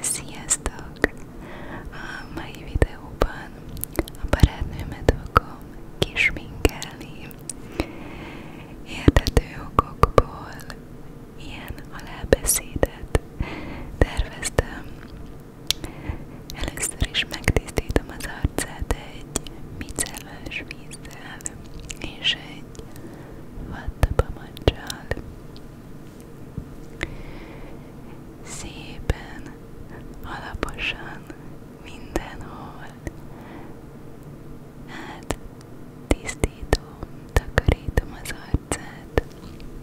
Sziasztok! A mai videóban a barátnőmet fogom kisminkelni. Értető okokból ilyen alábeszédet terveztem. Először is megtisztítom az arcát egy micellás vízzel és egy vattapamancsal. Szépen, alaposan, mindenhol. Hát, tisztítom, takarítom az arcát, hogy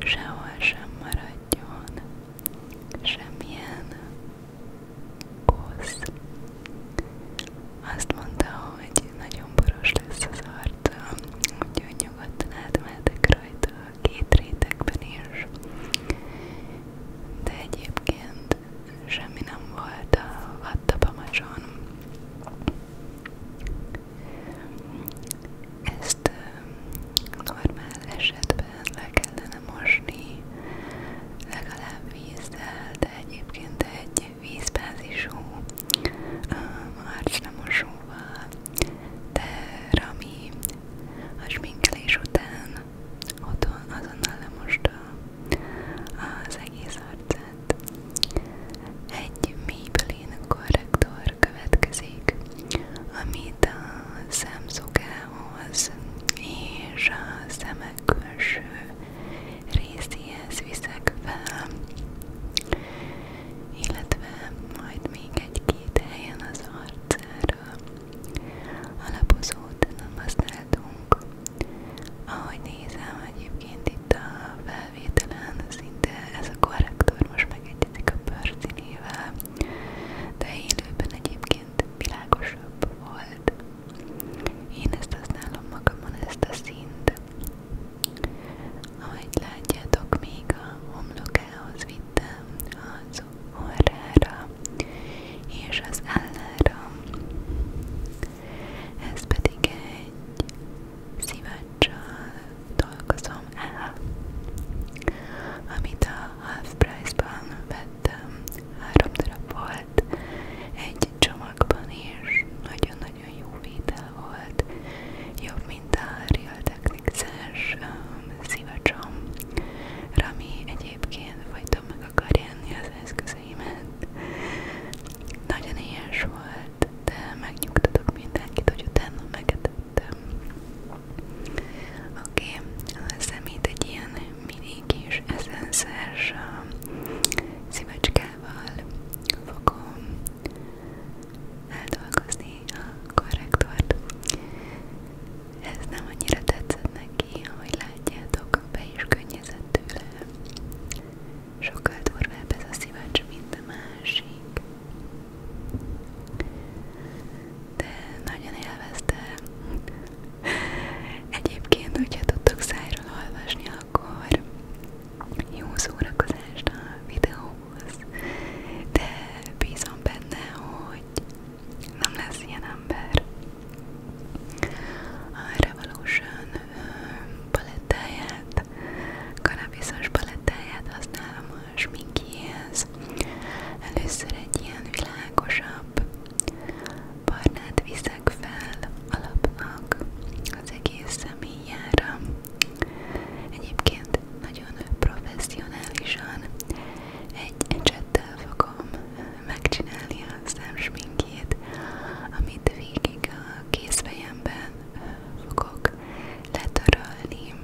sehol sem maradjon semmilyen Osz. Azt mondta, hogy nagyon boros lesz az arcom, úgyhogy nyugodtan átmehetek rajta a két rétegben is. De egyébként semmi nem volt a vattapamacson. Ezt normál esetben le kellene mosni legalább vízzel, de egyébként egy vízbázisú arcnemosóval, de Rami a sminkelés után otthon azonnal lemosta az egész arcát. Egy Maybelline korrektor következik, amit a szemszukához és a szemek külső részéhez viszek fel, illetve majd még egy-két helyen az arcára alapozót nem használtunk. Ahogy nézem, egyébként itt a felvételen szinte ez a korrektor most megegyezik a pörcinével, de élőben egyébként világosabb volt. Én ezt használom magamon, ezt a szint. Ahogy látjátok, még a homlokához vittem az orrára és az állára. Ez pedig egy szivacsal dolgozom el, amit a Half Price-ban vettem vettem, három darab volt egy csomagban, és nagyon-nagyon jó vétel volt, jobb, mint a Real Technics-es um, szívacsom, Rami egyébként folyton meg akar jönni az eszközeimet. Nagyon éhes volt, de megnyugtatok mindenkit, hogy utána megetettem. Oké, okay, a szemét egy ilyen mini kis eszenszes szívecskával fogom eldolgozni a korrektort. Ez nem annyira tetszett neki, ahogy látjátok, be is könnyezett tőle. Sokkal durvább ez a szivacs, mint a másik de nagyon élvezte. Egyébként, hogyha tudtok szájról olvasni, akkor jó szórakozást a videóhoz, de bízom benne, hogy nem lesz ilyen ember. A Revolution palettáját, kanabiszos palettáját használom a sminkihez. Először egy ilyen világosabb, nap. Barnát viszek fel alapnak az egész személyára. Egyébként nagyon professzionálisan egy ecsettel fogom megcsinálni a szemsminkjét, amit végig a kézfejemben fogok letörölni,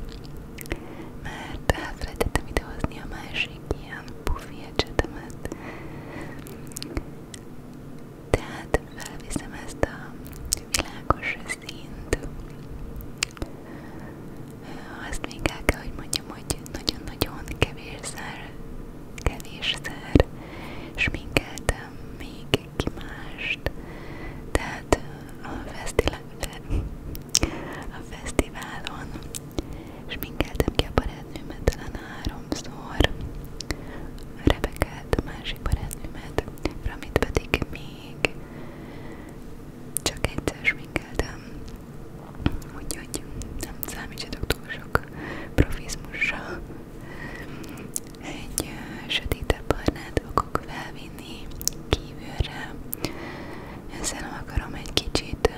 mert elfelejtettem idehozni a más másik ilyen pufi ecsetemet. Tehát felviszem ezt a világos színt. Azt még el kell, hogy mondjam, hogy nagyon-nagyon kevésszer, kevésszer sminkeltem még ki mást. Tehát a a fesztiválon, sminkeltem ki a barátnőmet háromszor, Rebekát, másik barátnőmet, Ramit pedig még csak egyszer sminkeltem, úgyhogy nem számítsatok túl sok profizmusra. Egy sötétebb barnát fogok felvinni kívülre, ezzel akarom egy kicsit kicsit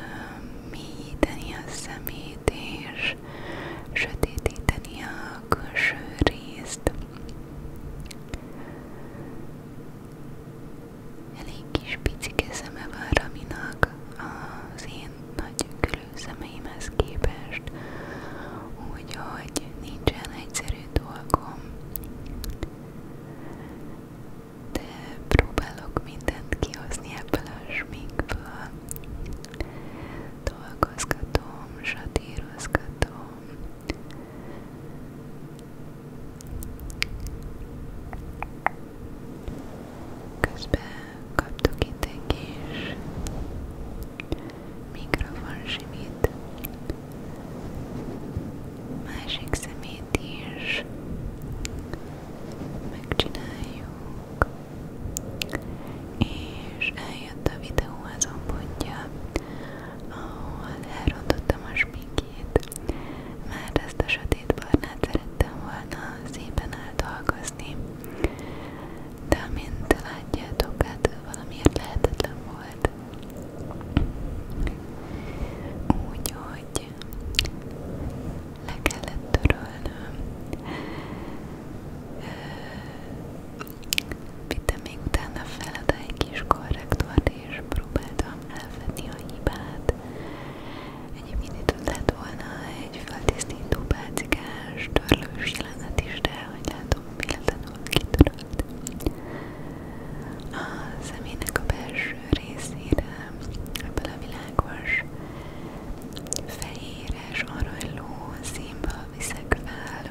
mélyíteni a szemét és sötétíteni a külső részt. Elég kis picike szeme van Raminak az én nagy külőszemeimhez képest, úgyhogy nincsen egyszerű dolgom de próbálok mindent kihozni ebből a sminkből. Dolgozgatom, satírozgatom. Közben kaptok itt egy kis mikrofon simít másik szemét is megcsináljuk és eljött a videó azon pontja ahol elrontottam a smikét mert ezt a sötét barnát szerettem volna szépen áldolgozni de amint látjátok hát valamiért lehetetlen volt volt. Úgyhogy le kellett törölnöm. Vittem még utána fel egy kis korrektort, és próbáltam elvenni a hibát. Egyébként itt lett volna egy föltisztító pácikás törlős jelenet is, de hogy látom, véletlenül kitöröltem marad. A személynek a belső részére ebből a világos fehéres aranyló színből viszek fel,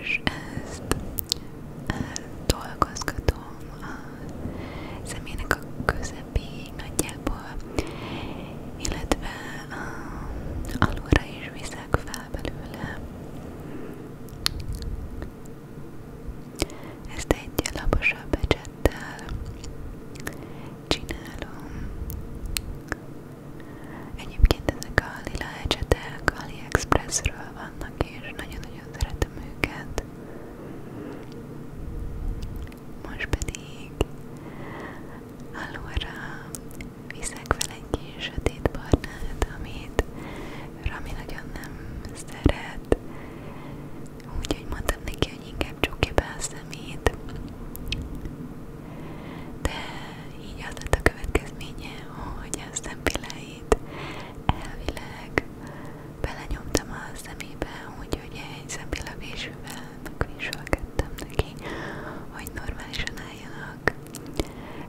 és ezt dolgozgatom a személynek a közepéig nagyjából, illetve a, um, alulra is viszek fel el belőle. Ezt egy laposabb becsettel csinálom. Egyébként ezek a lila ecsetek AliExpressről vannak, és nagyon-nagyon szeretem őket. Most pedig, allora, viszek vele egy kis sötét barnát, amit Rami nagyon nem szeret. Úgyhogy mondtam neki, hogy inkább csukja be a szemét. De így az lett a következménye, hogy a szempilláit elvileg belenyomtam a szemébe, úgyhogy egy szempillavésűvel megviselkedtem neki, hogy normálisan álljanak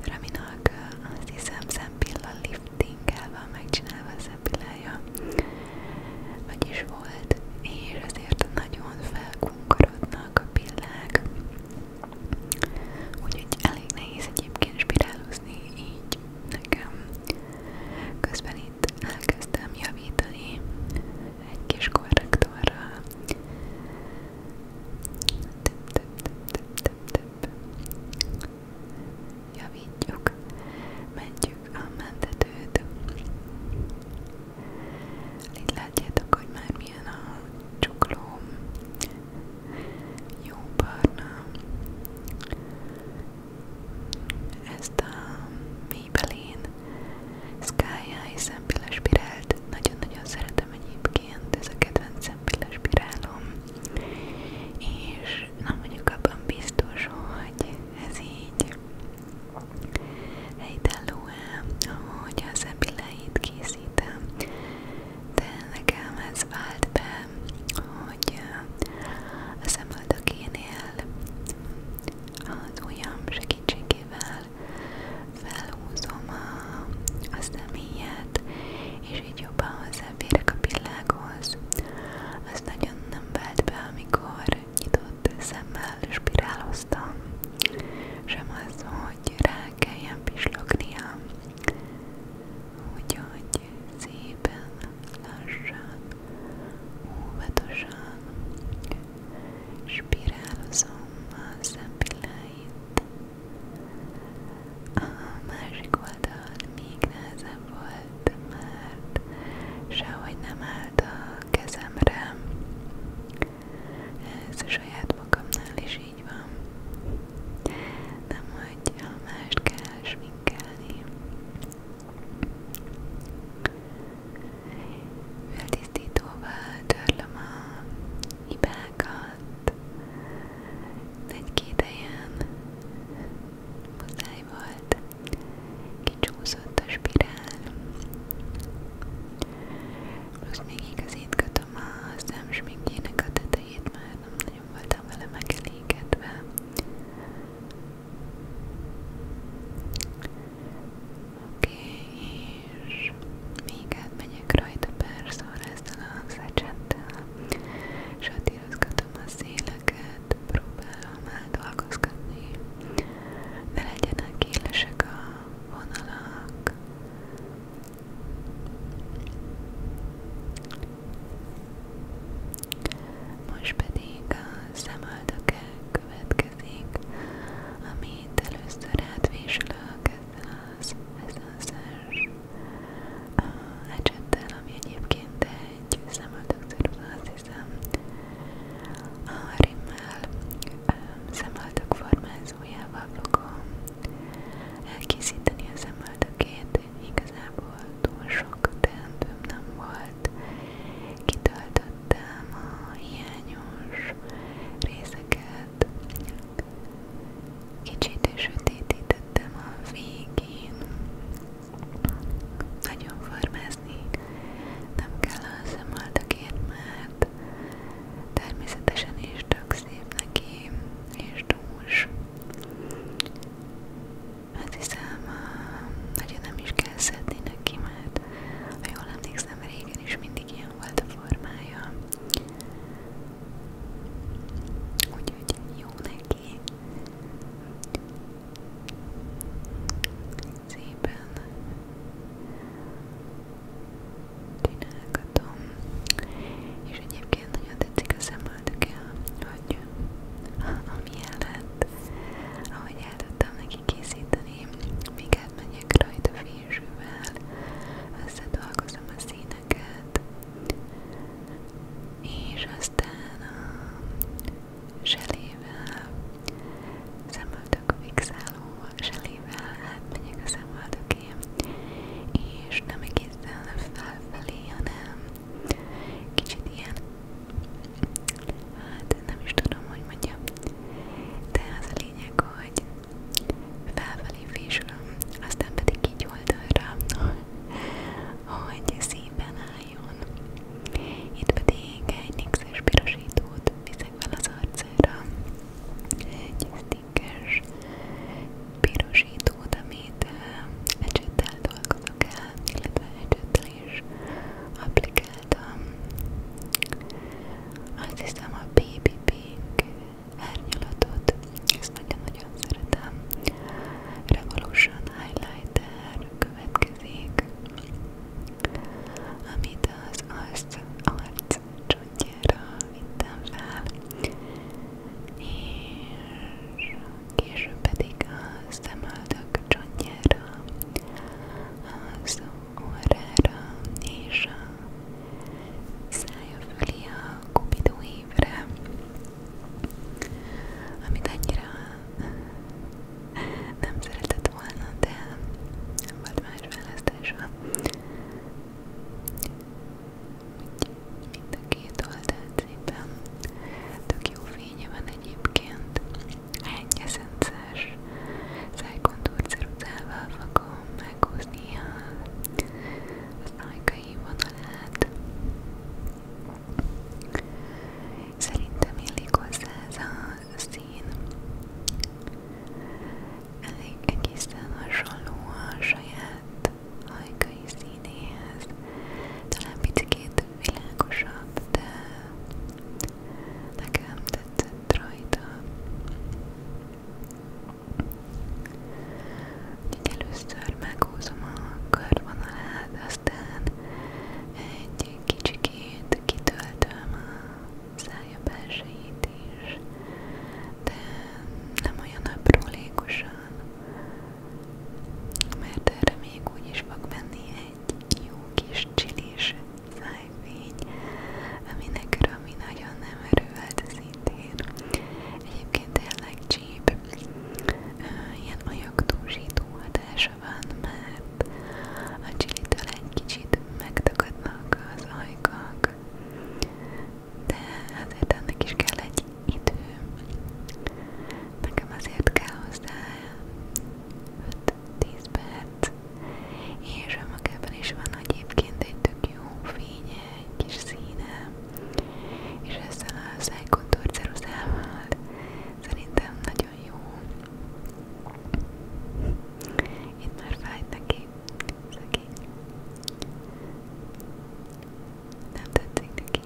Raminak azt hiszem szempilla liftinggel van megcsinálva a szempillája, meg is volt, és ezért nagyon felkunkorodnak a pillák. Úgyhogy elég nehéz egyébként spirálozni így nekem. Közben itt elkezdtem javítani egy kis korrektorral, több, több, a mentetőt. Itt hogy már milyen a csuklóm. Jó barna. Ezt a Maybelline Sky Eye szempilles nagyon-nagyon szeretem szeretem egyébként, ez a kedvencem pillanaspirálom, és nem mondjuk abban biztos, hogy ez így helytálló-e, ahogy az epiláit készítem, de nekem ez vált be, hogy a szemöldökénél az ujjam segítségével felhúzom a, a személyet, és így jobban hozzáférek a világhoz. Az nagyon nem vált be, amikor nyitott szemmel spiráloztam, sem az, hogy rá kelljen pislognia. Úgyhogy szépen, lassan, óvatosan spirálozom a szempilláit. A másik oldal még nehezebb volt, mert sehogy nem állt a kezemre. Ez a saját magamnál is így van. Nem, hogy a mást kell sminkelni. Feltisztítóval törlöm a hibákat. Egy-két helyen muszáj volt, kicsúszott a spirál. Plusz még igazítgatom a szemsminkjének a tetejét, már nem nagyon voltam vele megelégedve. Oké, okay, és még átmegyek rajta pár szóra ezzel a hangzacsettel, satírozgatom a széleket, próbálom eldolgozgatni, ne legyenek élesek a vonalak. Most pedig a szemöldökkel következik következik, amit először átvésülök ezzel az eszenszes ecsettel, ami egyébként egy szemöldökszerűz, azt hiszem a rimmel szemöldök formázójával fogom elkészíteni a szemöldökét, igazából túl sok teendőm nem volt kitöltött kivettem a hiányos részeket, kicsit sötétítettem a végén. Nagyon formázni nem kell a szemaldakért, mert természetesen is tök szép neki, és dús. Hát hiszem, nagyon nem is kell szedni neki, mert volt. Ha jól emlékszem, régen is mindig ilyen volt a formája. Úgyhogy jó neki. Szépen csinálgatom. És egyébként nagyon tetszik a szemöldöke, hogy ami lett, ahogy el tudtam neki készíteni, míg átmenjek rajta fésűvel, összedolgozom a színeket, és aztán a zselével, szemöldök fixáló zselével átmenjek a szemöldökén, és nem egészen felfelé, hanem kicsit ilyen hát nem is tudom, hogy mondjam, de az a lényeg, hogy felfelé fésülöm, aztán pedig így oldalra, hogy szépen álljon. Itt pedig egy nixes pirosítót viszek fel az arcára, egy stickers pirosítót, amit ecsettel dolgozok el, illetve ecsettel is applikálom csináltam. Azt hiszem a Baby Pink árnyalatot, ezt nagyon-nagyon szeretem. Revolution Highlighter következik, amit az arc, arc csontjára vittem fel, és később pedig a szemöldök csontjára az órára és a szája fölé a kupidó évre, amit annyira nem szeretett volna, de nem volt más választása. Mind a két oldalt szépen tök jó fénye van egyébként. Hángyeszencás szájkontúrt ceruzával fogom meghúzni az ajkai vonalát. Szerintem illik hozzá ez a szín. Elég egészen hasonló a saját ajkai színéhez. Talán picit világosabb, de Nekem tetszett rajta. Úgyhogy először meghúzom a körvonalát, aztán egy kicsikét kitöltöm a szája belsejét is, de nem olyan aprólékosan, mert erre még úgy is fog menni egy jó kis csilis szájfény, aminek Rami nagyon nem örült szintén. Egyébként tényleg csíp, ilyen anyagtúzsító hatása van, mert a csilitől egy kicsit megtakadnak az ajkak, de azért ennek is kell egy idő. Nekem azért kell hozzá 5-10 perc, és önmagában is van egyébként egy tök jó fénye, egy kis színe, és ezzel a szájkontor ceruzával szerintem nagyon jó. Itt már fájt neki, szegény. Nem tetszik neki?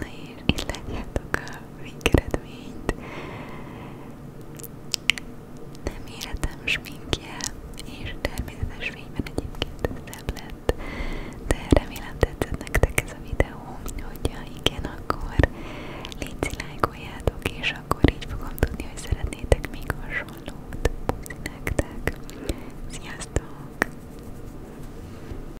Na és így látjátok a végeredményt. Nem életem sminkje, és természetes fényben egyébként szebb lett, de remélem tetszett nektek ez a videó, hogyha igen, akkor légy lájkoljátok, és akkor így fogom tudni, hogy szeretnétek még hasonlót. Puszi nektek! Sziasztok!